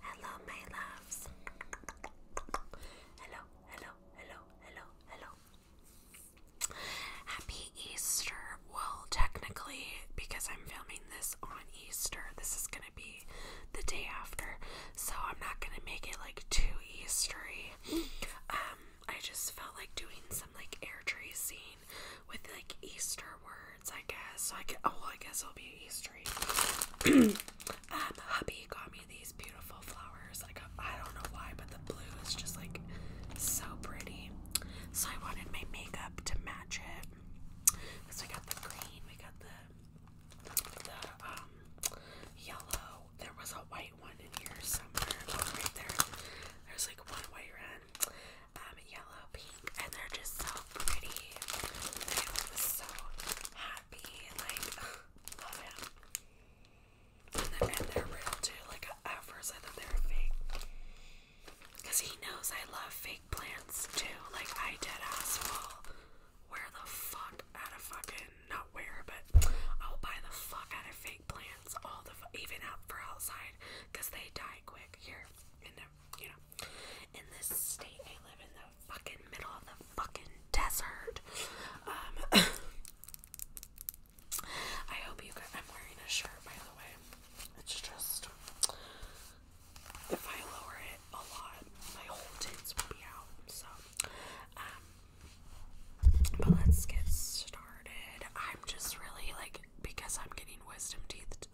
Hello, my loves. Hello, hello, hello, hello, hello. Happy Easter. Well, technically, because I'm filming this on Easter, this is going to be the day after. So I'm not going to make it like too Eastery. Um, I just felt like doing some like air tracing with like Easter words, I guess. So I could, oh, I guess it'll be Eastery. Um, hubby got me these beautiful flowers. Like I don't know why, but the blue is just like so pretty. So I wanted my makeup to match it. So we got the green, we got the the um yellow. There was a white one in here somewhere. Oh, right there. There's like one white one. Um, yellow, pink, and they're just so pretty. I was so happy. Like, love it. And they're, real too. Like at first I thought they were fake. Cause he knows I love fake plants too. Like I did asshole. Where the fuck out of fucking not where, but I'll buy the fuck out of fake plants all the even out for outside, cause they die quick here and you know in this state I live in the fucking middle of the fucking desert. Um I hope you I'm wearing a shirt by the way. It's just if I lower it a lot, my whole tits will be out. So um but let's get started. I'm just really like because I'm getting wisdom teeth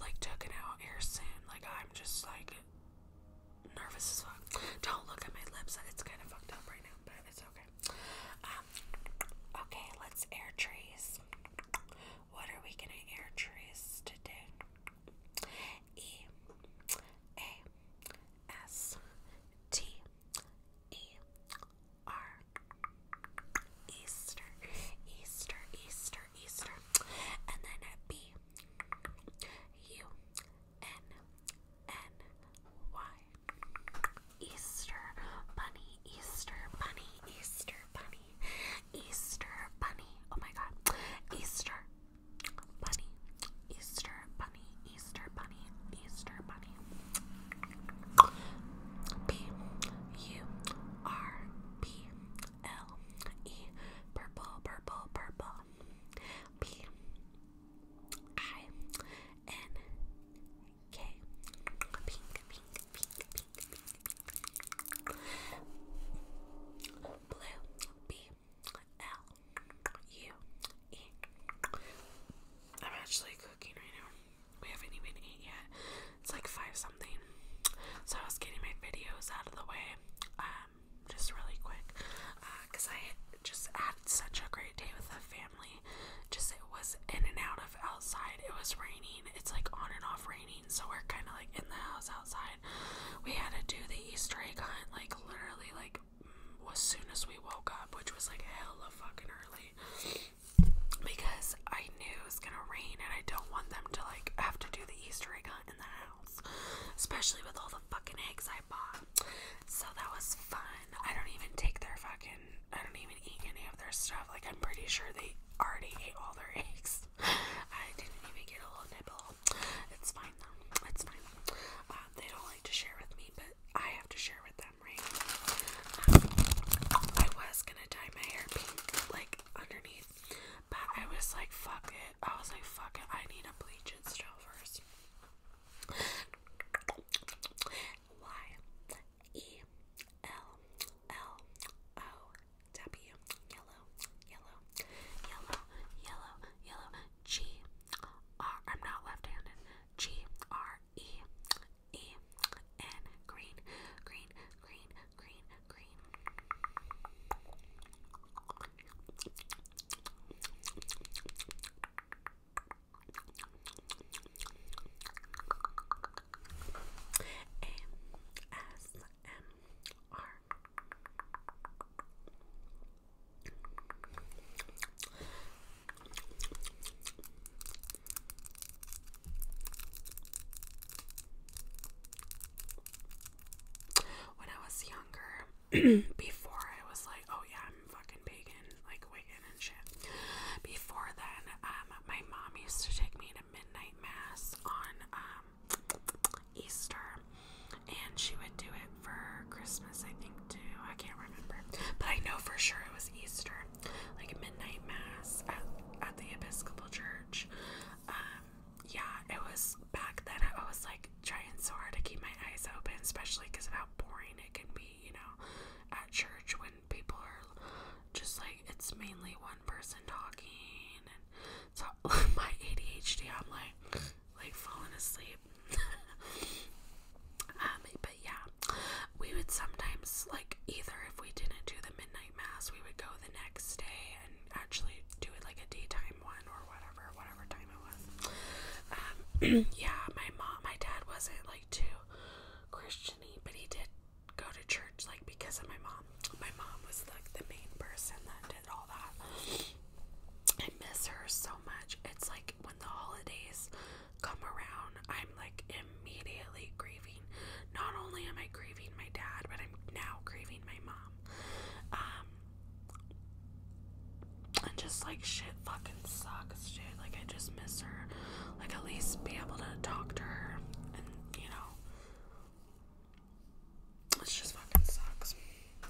like taken out here soon. Like I'm just like nervous as fuck. Don't look at my lips. It's kind of fucked up right now, but it's okay. Um, okay, let's air trees. What are we gonna air trees today? E A S T E R Easter, Easter, Easter, Easter. And then B U N N Y. Easter Bunny, Easter Bunny, Easter Bunny, Easter Bunny. Oh my god. Easter Bunny, Easter Bunny, Easter Bunny, Easter Bunny. B U R B L E purple purple purple P I N K pink pink pink pink pink blue B L U E I'm actually cooking right now. We haven't even eaten yet. It's like five something. So I was getting my videos out of the way. Um, just really quick because uh, I just had such a great day with the family. Just it was in and out of outside. It was raining. It's like on and off raining, so we're kind of like in the house outside. We had to do the Easter egg hunt like literally like mm, as soon as we woke up, which was like hell of fucking early. Because I knew it was gonna rain and I don't want them to like have to do the Easter egg hunt in the house especially with all the fucking eggs I bought. So that was fun. I don't even take their fucking, I don't even eat any of their stuff. Like, I'm pretty sure they already ate all their eggs. I didn't even get a little nibble. It's fine though. It's fine. Um, they don't like to share with me, but I have to share with them, right? Um, I was gonna dye my hair pink, like underneath, but I was like, fuck it. I was like, fuck it. I need a bleach it still first. Y E L L O W yellow yellow yellow yellow yellow G R I'm not left handed G R E E N green green green green green. ASMR when I was younger, before I was like, oh yeah, I'm fucking pagan, like Wiccan and shit. Before then, um, my mom used to take me to midnight mass on um, Easter, and she would do it for Christmas, I think too. I can't remember, but I know for sure it was Easter, like midnight mass at, at the Episcopal Church. Um, yeah, it was back then. I was like trying so hard to keep my eyes open, especially because of how boring it can be, you know, at church when people are just like it's mainly one person talking, and so my ADHD, I'm like like falling asleep. um, but yeah, we would sometimes like either if we didn't do the midnight mass, we would go the next day and actually do it like a daytime one or whatever, whatever time it was. Um, yeah, my mom, my dad wasn't like too Christiany, but he did go to church like because of my mom. My mom was like the main person that did all that. I miss her so much. It's like when the holidays come around, I'm like immediately grieving. Not only am I grieving my dad, but I'm now grieving my mom. Um, and just like shit fucking sucks, dude. Like, I just miss her. Like, at least be able to talk to her, and you know, it just fucking sucks.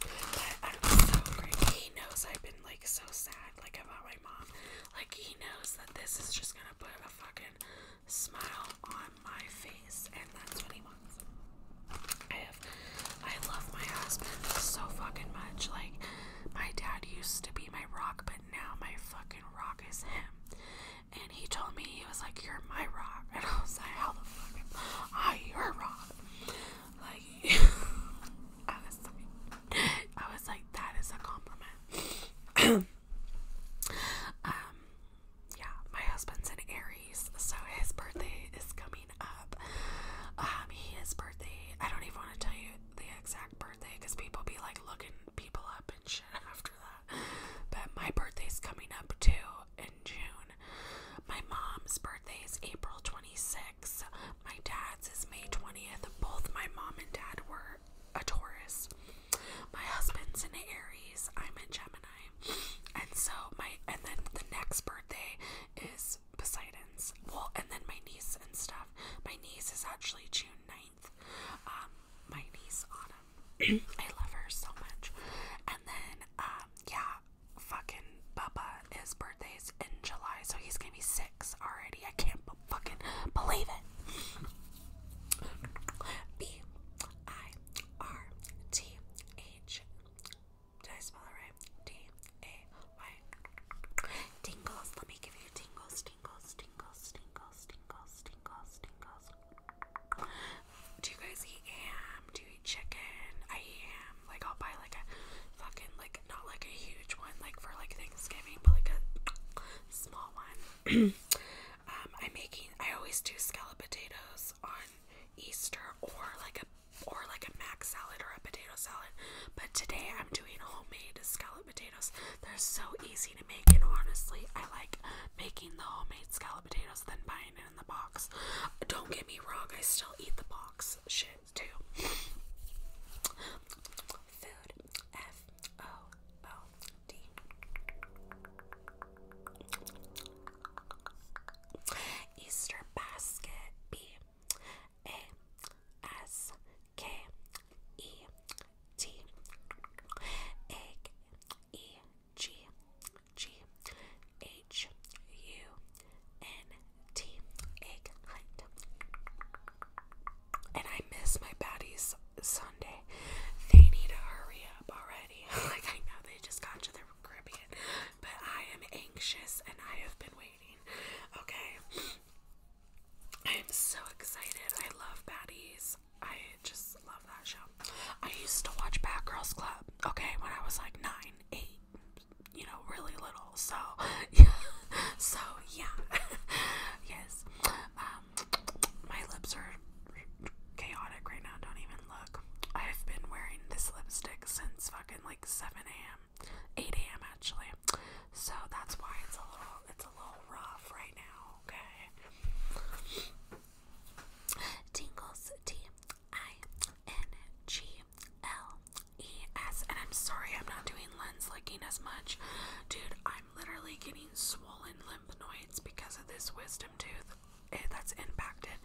But I'm so grateful. He knows I've been like so sad, like about my mom. Like, he knows that this is just gonna put a fucking smile on my face, and that's what he wants. I have, I love my husband so fucking much. Like, my dad used to be my rock, but now my fucking rock is him. And he told me, he was like, You're my rock. And I was like, How the fuck am I your rock? Like, I was like, I was like, That is a compliment. um, yeah, my husband's an Aries, so his birthday is coming up. Um, his birthday, I don't even want to tell you the exact birthday because people be like looking people up and shit after that. But my birthday's coming up too in June. My mom's birthday is April 26th. My dad's is May 20th. Both my mom and dad were a Taurus. My husband's an Aries. I'm a Gemini. And so my and then the next birthday is Poseidon's. Well, and then my niece and stuff. My niece is actually June 9th. Um, my niece Autumn. I love her so much. And then um yeah, fucking Bubba his birthday's in July, so he's gonna be six already. I can't fucking believe it. B I R T A H. Did I spell it right? D A Y. Tingles. Let me give you tingles, tingles, tingles, tingles, tingles, tingles, tingles. Do you guys eat ham? Do you eat chicken? I eat ham. Like I'll buy like a fucking like not like a huge one like for like Thanksgiving, but like a small one. I'm um, making. I always do scallop potatoes on Easter or like a or like a mac salad or a potato salad. But today I'm doing homemade scallop potatoes. They're so easy to make, and honestly, I like making the homemade scallop potatoes than buying it in the box. Don't get me wrong, I still eat the box shit too. Easter basket B A S K E T And I miss my baddies Sunday. They need to hurry up already. like I know they just got to their Caribbean, but I am anxious and I have been waiting. Okay, I am so excited. I love Baddies. I just love that show. I used to watch Bad Girls Club. Okay, when I was like nine, eight, you know, really little. So, yeah. So yeah, yes. Um, my lips are chaotic right now. Don't even look. I have been wearing this lipstick since fucking like 7 a.m. 8 a.m. actually. So that's why it's a little it's a little rough right now, okay? Tingles T I N G L E S and I'm sorry I'm not doing lens licking as much. Dude, I'm literally getting swollen lips lymph nodes because of this wisdom tooth eh, that's impacted.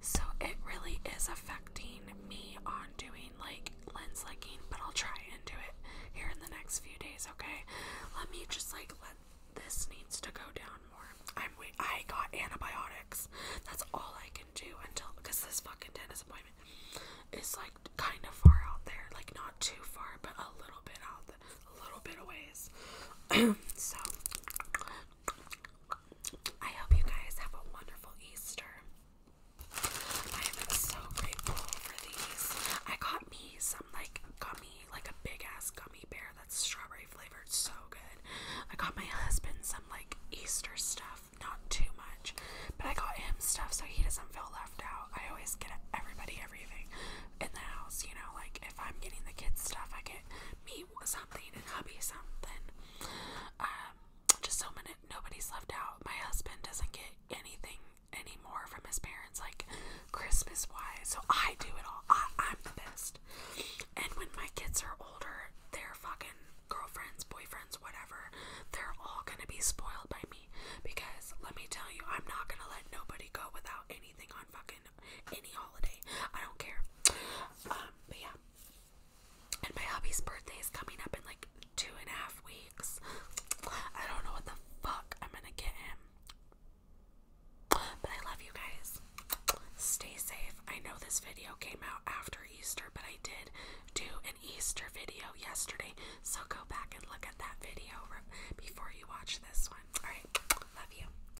So it really is affecting me on doing like lens licking, but I'll try and do it here in the next few days, okay? Let me just like let this needs to go down more. I'm wait I got antibiotics. That's all I can do until because this fucking dentist appointment is like kind of far out there, like not too far, but a little bit out, a little bit a ways. so I hope you guys have a wonderful Easter. I am so grateful for these. I got me some like gummy, like a big ass gummy bear that's strawberry flavored, so good. I got my husband some like Easter stuff, not too much, but I got him stuff so he doesn't feel left out. I always get everybody everything in the house, you know, like if I'm getting the kids stuff, I get me something and hubby something. Um, just so many, nobody's left out. My husband doesn't get anything anymore from his parents, like Christmas wise. So I do it all. I, I'm the best. And when my kids are older, they're fucking girlfriends, boyfriends, whatever, they're all gonna be spoiled by me. Because let me tell you, I'm not gonna let nobody go without anything on fucking any holiday. I don't care. Um, but yeah. And my hubby's birthday is coming up in like two and a half weeks. I don't know what the fuck I'm gonna get him. But I love you guys. Stay safe. I know this video came out after Easter, but I did do an Easter video yesterday. So go back and look at that video before you watch this one. Alright, love you.